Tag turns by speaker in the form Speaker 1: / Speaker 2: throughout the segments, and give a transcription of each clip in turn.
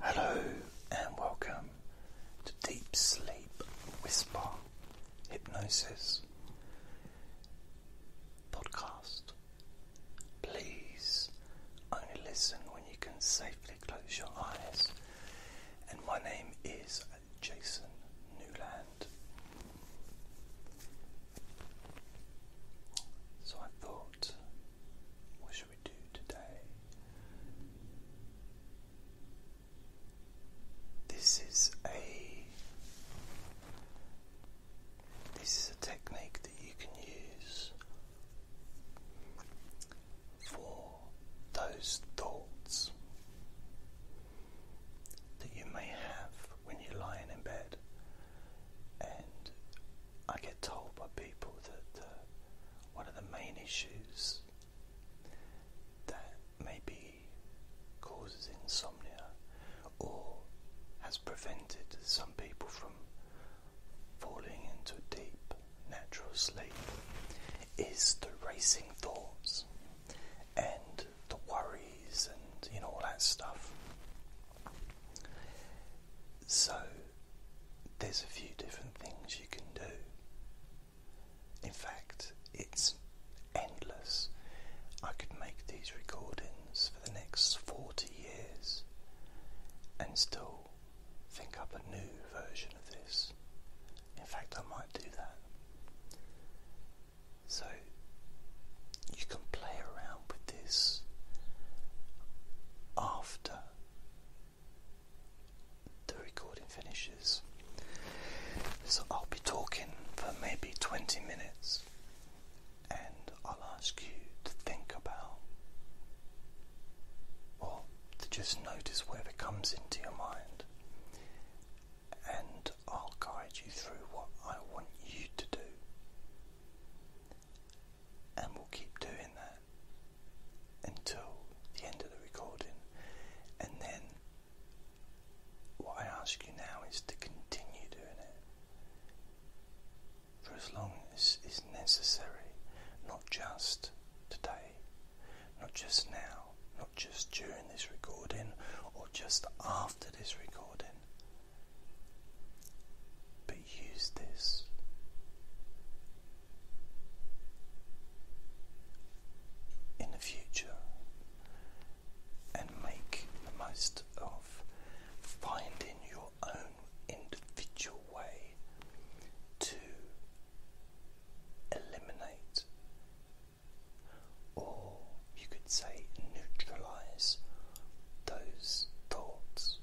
Speaker 1: Hello and welcome to Deep Sleep Whisper Hypnosis Podcast. Please only listen when you can safely close your eyes. And my name is Jason Newland. So I thought we do today? This is a this is a technique that you can use for those thoughts that you may have when you're lying in bed. And I get told by people that uh, one of the main issues that maybe causes insomnia or has prevented some people from falling into deep natural sleep is the racing thoughts and the worries and you know all that stuff. So there's a few different things you can do. In fact, it's endless. I could make these recordings for the next 40 years and still think up a new version of this. In fact, I might do that. So, you can play around with this after the recording finishes. So I'll be talking for maybe 20 minutes and I'll ask you to think about or to just notice whatever comes into your mind and I'll guide you through what I want you to do and we'll keep doing that until the end of the recording. And then what I ask you now is to continue doing it for as long as is necessary, not just today, not just now, not just during this recording or just after this recording, use this. In the future, and make the most of finding your own individual way to eliminate, or you could say neutralize, those thoughts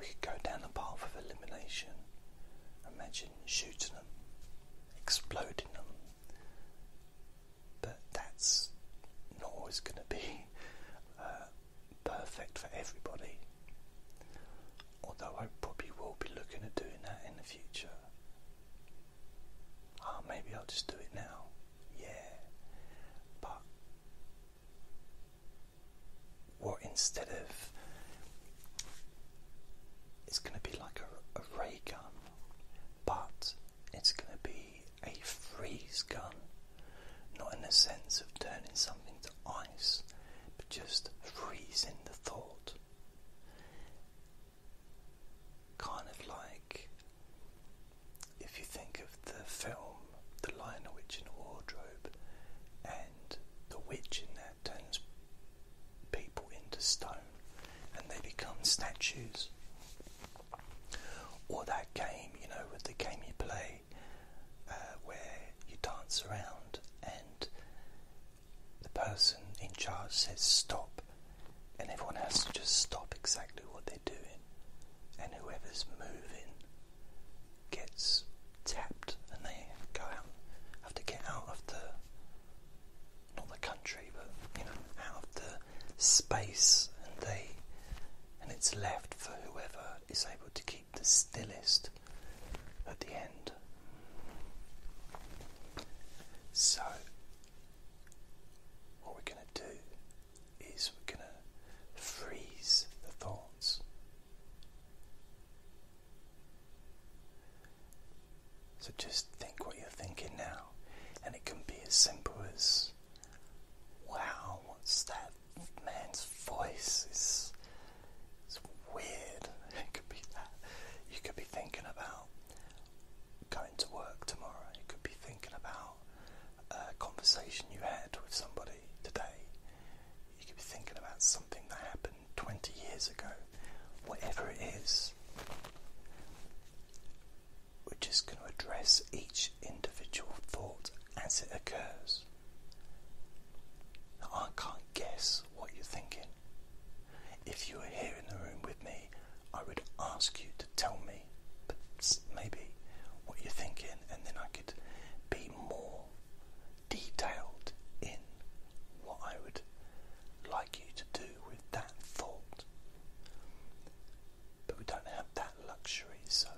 Speaker 1: we could go down the path of elimination. Imagine shooting them, exploding them. But that's not always going to be uh, perfect for everybody. Although I probably will be looking at doing that in the future. Ah, maybe I'll just do it now. Yeah. But what instead of it's going to be like a, ray gun, but it's going to be a freeze gun, not in the sense of turning something to ice, but just freezing the thought. Kind of like like if you think of the film The Lion, the Witch in the Wardrobe and the witch in that turns people into stone and they become statues. Or that game, you know, with the game you play uh, where you dance around and the person in charge says stop, and everyone has to just stop exactly what they doing, and whoever's moving gets tapped, and they go out, have to get out of the not the country, but you know, out of the space, and they and it's left for whoever is able to keep the stillest at the end. So, what we're going to do is we're going to freeze the thoughts. So just think what you're thinking now, and it can be as simple as wow, what's that man's voice? It's, weird. It could be that. You could be thinking about to work tomorrow. You could be thinking about a conversation you had with somebody today. You could be thinking about something that happened 20 years ago. Whatever it is, we're just going to address each individual thought as it occurs. I can't guess what you're thinking. If you were here in the room with me, I would ask you to tell me maybe what you're thinking, and then I could be more detailed in what I would like you to do with that thought. But we don't have that luxury, so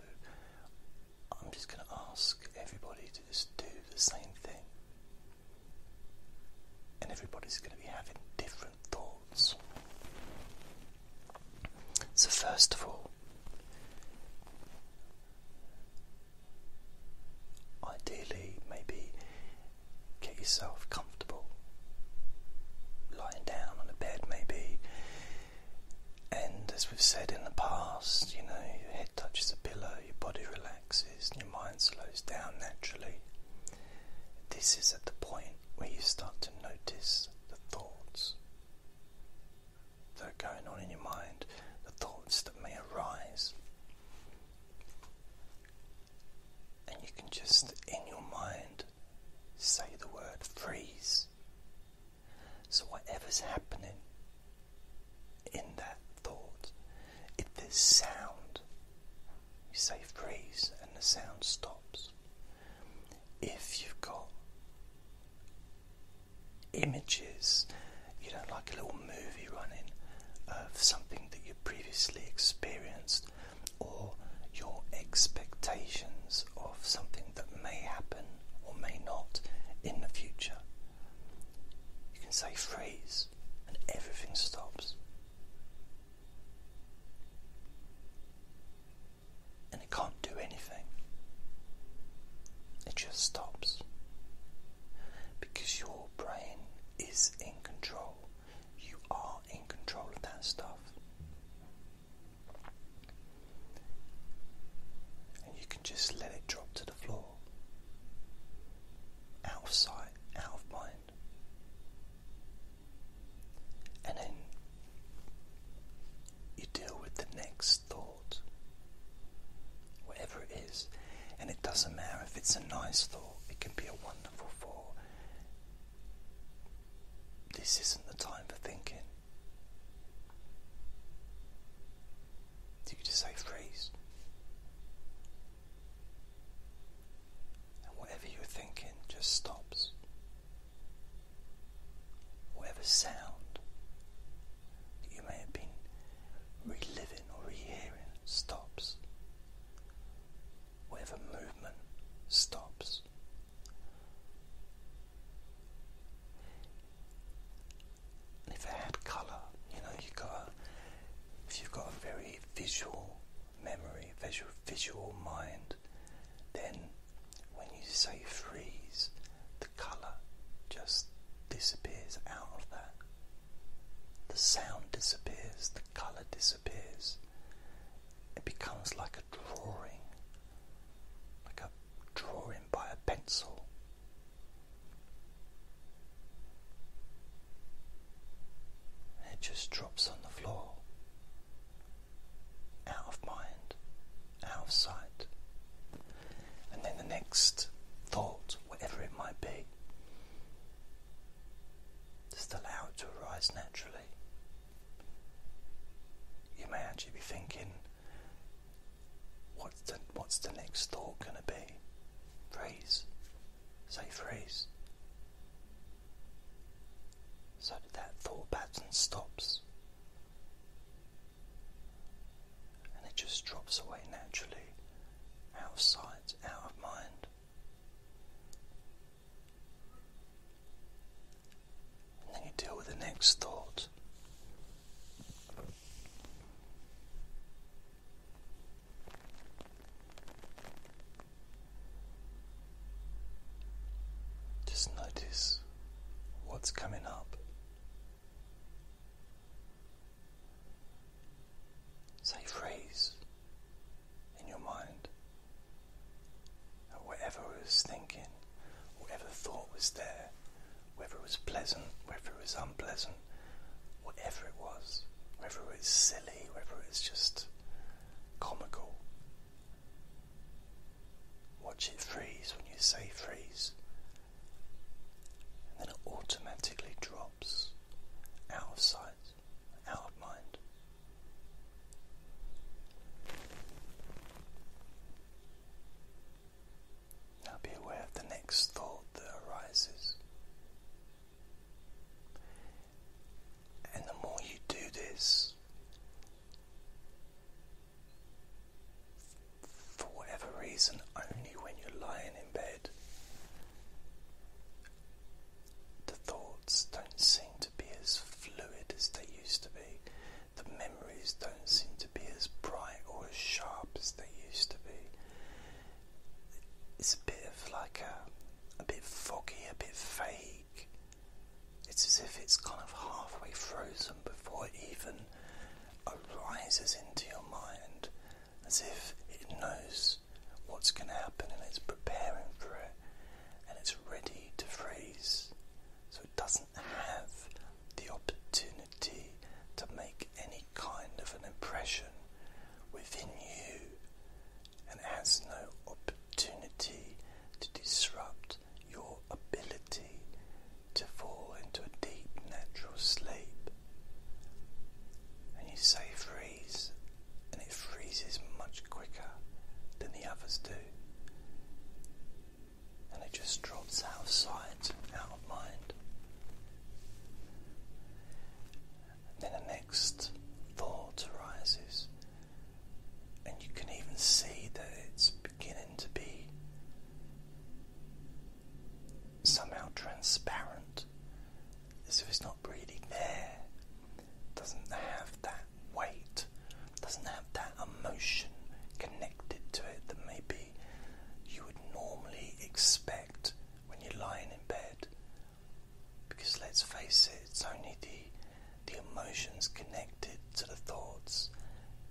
Speaker 1: I'm just going to ask everybody to just do the same thing. And everybody's going to be having different so, first of all, ideally, maybe get yourself comfortable, lying down on a bed, maybe. And as we've said in the past, you know, your head touches the pillow, your body relaxes, and your mind slows down naturally. This is at the point where you start to notice the thoughts that are going on in your mind, the thoughts that may arise. And you can just, in your mind, say the word freeze. So, whatever's happening in that thought, if there's sound, you say freeze and the sound stops if you've got images, you don't like a little movie running of something that you previously experienced, or your expectations of something that may happen or may not in the future. You can say freeze and everything stops and it can't do anything. It just stops. Because your brain is in control. You are in control of that stuff. And you can just let it drop to the floor. Out of sight, out of mind. And then you deal with the next thought, whatever it is. And it doesn't matter if it's a nice thought, it can be a wonderful thought. This isn't the time for thinking. You just say freeze and whatever you're thinking just stops. Whatever sound that you may have been reliving or rehearing stops. Whatever movement stops. if it had colour, you know, you got if you've got a very visual memory, visual, visual mind. Then, when you say freeze, the colour just disappears out of that. The sound disappears, the colour disappears. It becomes like a drawing, like a drawing by a pencil. It just drops on the floor out of mind, out of sight. And then the next thought, whatever it might be, just allow it to arise naturally. You may actually be thinking, what's the, next thought going to be? Freeze. Say freeze so that, thought pattern stops and it just drops away naturally out of sight, out of mind. And then you deal with the next thought. Just notice what's coming up. Say phrase in your mind. whatever was thinking, whatever thought was there, whether it was pleasant, whether it was unpleasant, whatever it was, whether it was silly, whether it was just comical. Watch it freeze when you say freeze, and then it automatically drops out of sight, out of mind. Now be aware of the next thought that arises. And the more you do this, for whatever reason, only when you're lying in bed, the thoughts don't seem to be as fluid as they used to be. The memories don't seem to be as bright or as sharp as they used to be. It's a bit of like a a bit foggy, a bit vague. It's as if it's kind of halfway frozen before it even arises into your mind, as if it knows what's going to happen and it's preparing for it and it's ready to freeze. So it doesn't have the opportunity to make any kind of an impression within you and has no opportunity to disrupt your ability to fall into a deep natural sleep. And you say freeze, and it freezes much quicker than the others do. And it just drops out of sight, out of mind. Then the next thought arises, and you can even see that it's beginning to be somehow transparent, as if it's not really there, doesn't have that weight, doesn't have that emotion connected to it that maybe you would normally expect when you're lying in bed because let's face it, it's only the, the emotions connected to the thoughts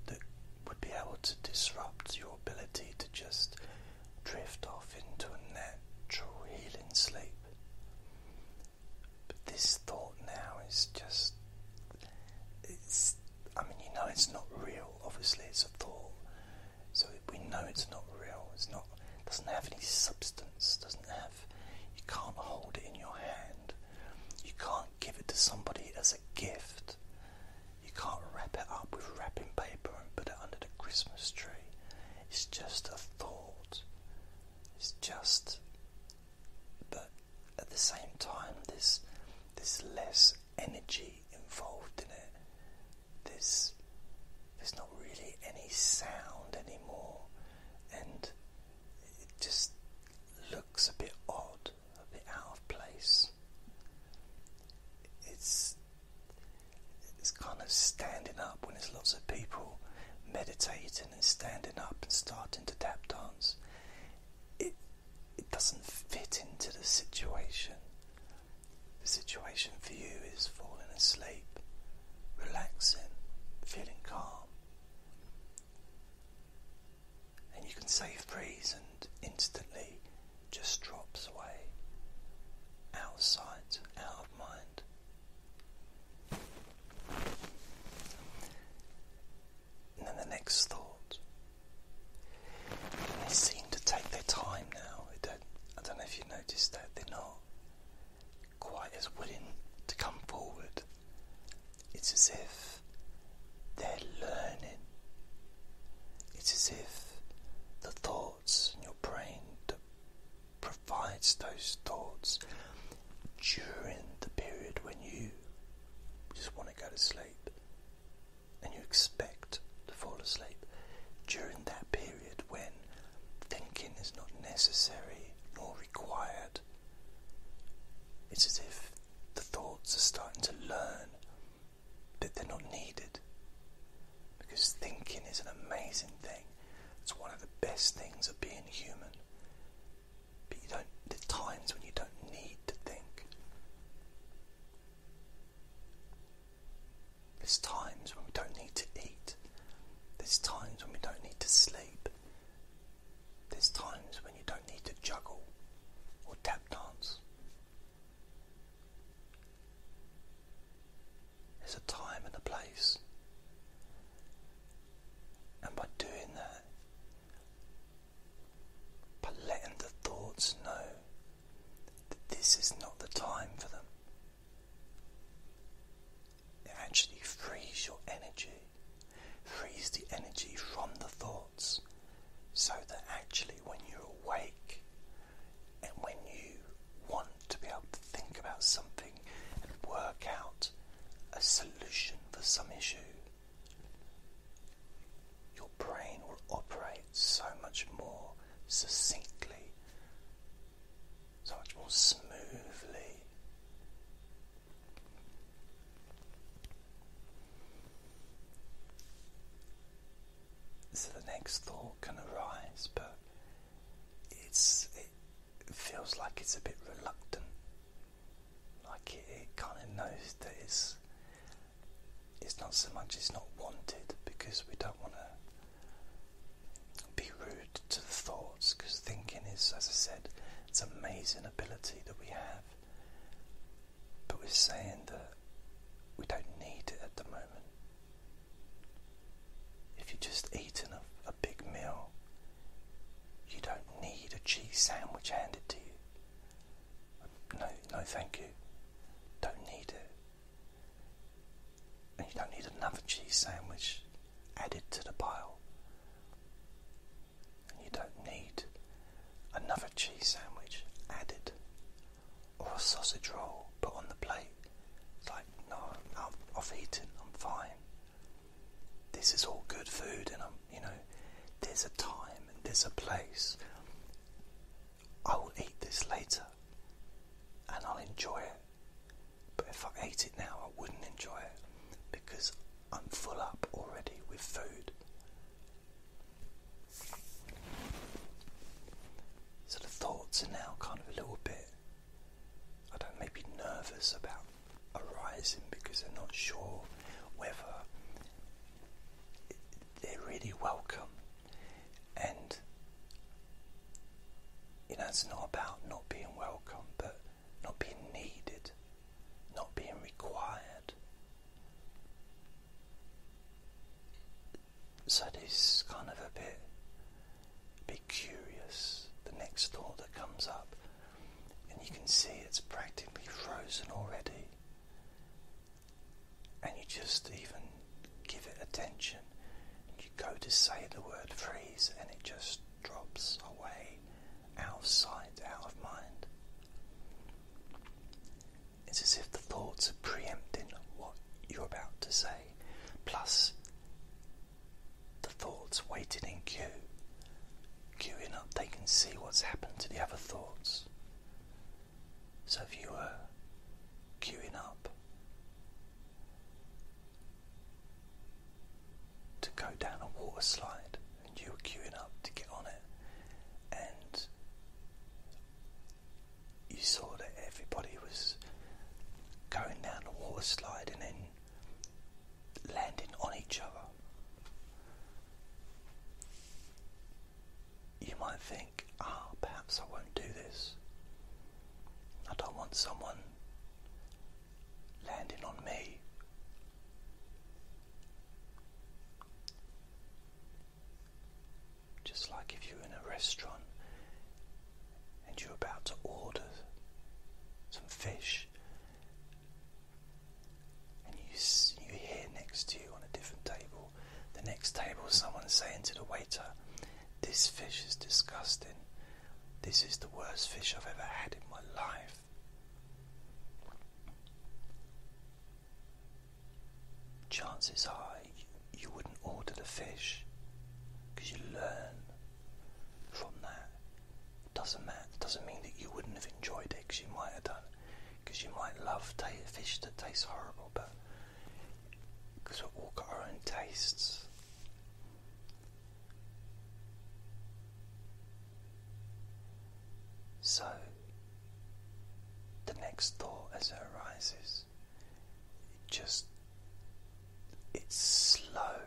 Speaker 1: that would be able to disrupt your ability to just drift off into a natural healing sleep. But this thought now is just. It's. I mean, you know, it's not real, obviously, it's a thought. So we know it's not real. It's not doesn't have any substance. Doesn't have. You can't hold it in your hand. You can't give it to somebody as a gift. You can't wrap it up with wrapping paper and put it under the Christmas tree. It's just a thought. It's just. But at the same time, there's there's less energy involved in it there's there's not really any sound anymore, and it just looks a bit odd, a bit out of place. It's it's kind of standing up when there's lots of people meditating and standing up and starting to tap dance. It it doesn't fit into the situation. The situation for you is falling asleep, relaxing, feeling calm. And you can save breeze and instantly just drops away. Out of sight, out of mind. And then the next thought. They seem to take their time now. I don't know if you noticed that they're not quite as willing to come forward. It's as if they're learning. It's as if the thoughts in your brain provides those thoughts during the period when you just want to go to sleep and you expect to fall asleep during that period when thinking is not necessary nor required. It's as if the thoughts are starting to learn that they're not needed. Because thinking is an amazing thing. It's one of the best things of being human. But you there are times when you don't need to think. There's times when we don't need to eat. There's times when we don't need to sleep. There's times when you don't need to juggle or tap dance. There's a time and a place. And by doing that, by letting the thoughts know that this is not the time for them, it actually frees your energy, frees the energy from the thoughts, so that actually when you're awake and when you want to be able to think about something and work out a solution for some issue, your brain will operate so much more succinctly, so much more smoothly. So the next thought can arise, but it's it feels like it's a bit reluctant, like it kind of knows that it's it's not so much it's not wanted because we don't want to be rude to the thoughts because thinking is, as I said, it's amazing ability that we have. But we're saying that we don't need it at the moment. If you've just eaten a, a big meal, you don't need a cheese sandwich handed to you. No, no, thank you. Don't need it. And you don't need another cheese sandwich added to the pile. And you don't need another cheese sandwich added or a sausage roll put on the plate. It's like, no, I'm, off eating. I'm fine. This is all good food, and I'm, you know, there's a time and there's a place I will eat this later and I'll enjoy it. But if I ate it now, I wouldn't enjoy it because I'm full up already with food. So the thoughts are now kind of a little bit, I don't maybe nervous about arising because they're not sure whether they're really welcome and you know, it's not about not being welcome, but not being needed, not being required. So this kind of a bit, Be curious. The next thought that comes up, and you can see it's practically frozen already and you just even give it attention. You go to say the word freeze, and it just drops away out of sight, out of mind. It's as if the thoughts are preempting what you're about to say, plus the thoughts waiting in queue, queuing up. They can see what's happened to the other thoughts. So if you were queuing up to go down a water slide and you were queuing up to get on it and you saw that everybody was going down the water slide and then landing on each other you might think, ah, perhaps I won't do this. I don't want someone landing on me. Just like if you're in a restaurant and you're about to order some fish and you, you hear next to you on a different table the next table, someone saying to the waiter, This fish is disgusting. This is the worst fish I've ever had in my life. Chances are you wouldn't order the fish because you learn from that. It doesn't matter. It doesn't mean that you wouldn't have enjoyed it because you might have done because you might love fish that taste horrible, but because we've all got our own tastes. So, the next thought as it arises, it just it's slow.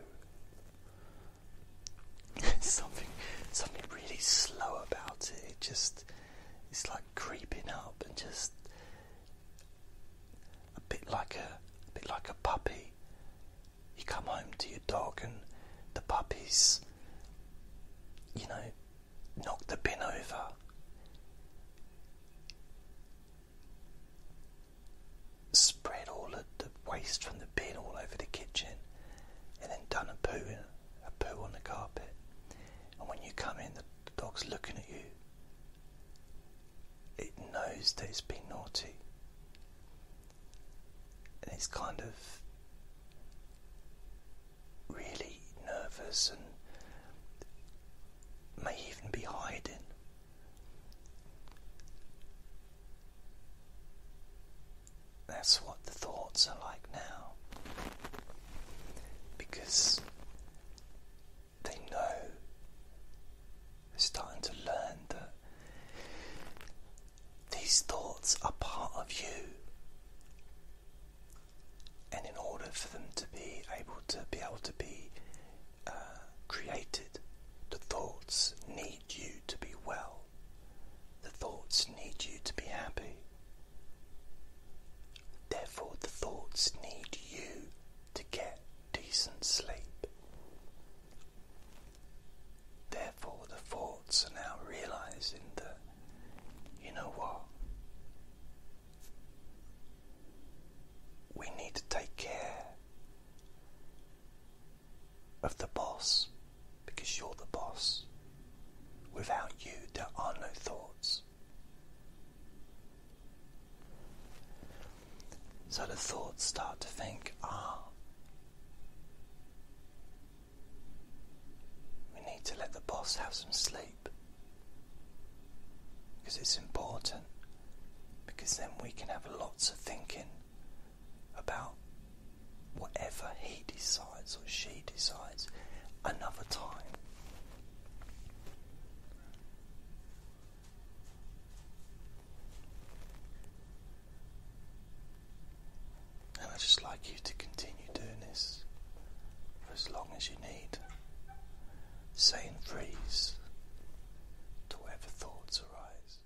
Speaker 1: It's something, something really slow about it. It just it's like creeping up and just a bit like a, bit like a puppy. You come home to your dog and the puppy's you know knocked the bin over. Spread all the waste from the bin all over the kitchen and then done a poo a poo on the carpet. And when you come in, the dog's looking at you. It knows that it's been naughty. And it's kind of really nervous and may even be hiding. That's what the thoughts are like now. Because they know, starting to learn that these thoughts are part of you. And in order for them to be able to be able to be uh, created, the thoughts need you to be well. The thoughts need you to be happy. Therefore, the thoughts need you to get decent sleep. Therefore, the thoughts are now realizing that, you know what? We need to take care of the boss because you're the boss. Without you, there are no thoughts. So the thoughts start to think, ah, we need to let the boss have some sleep because it's important, because then we can have lots of thinking about whatever he decides or she decides another time. And i just like you to continue doing this for as long as you need, saying freeze to whatever thoughts arise.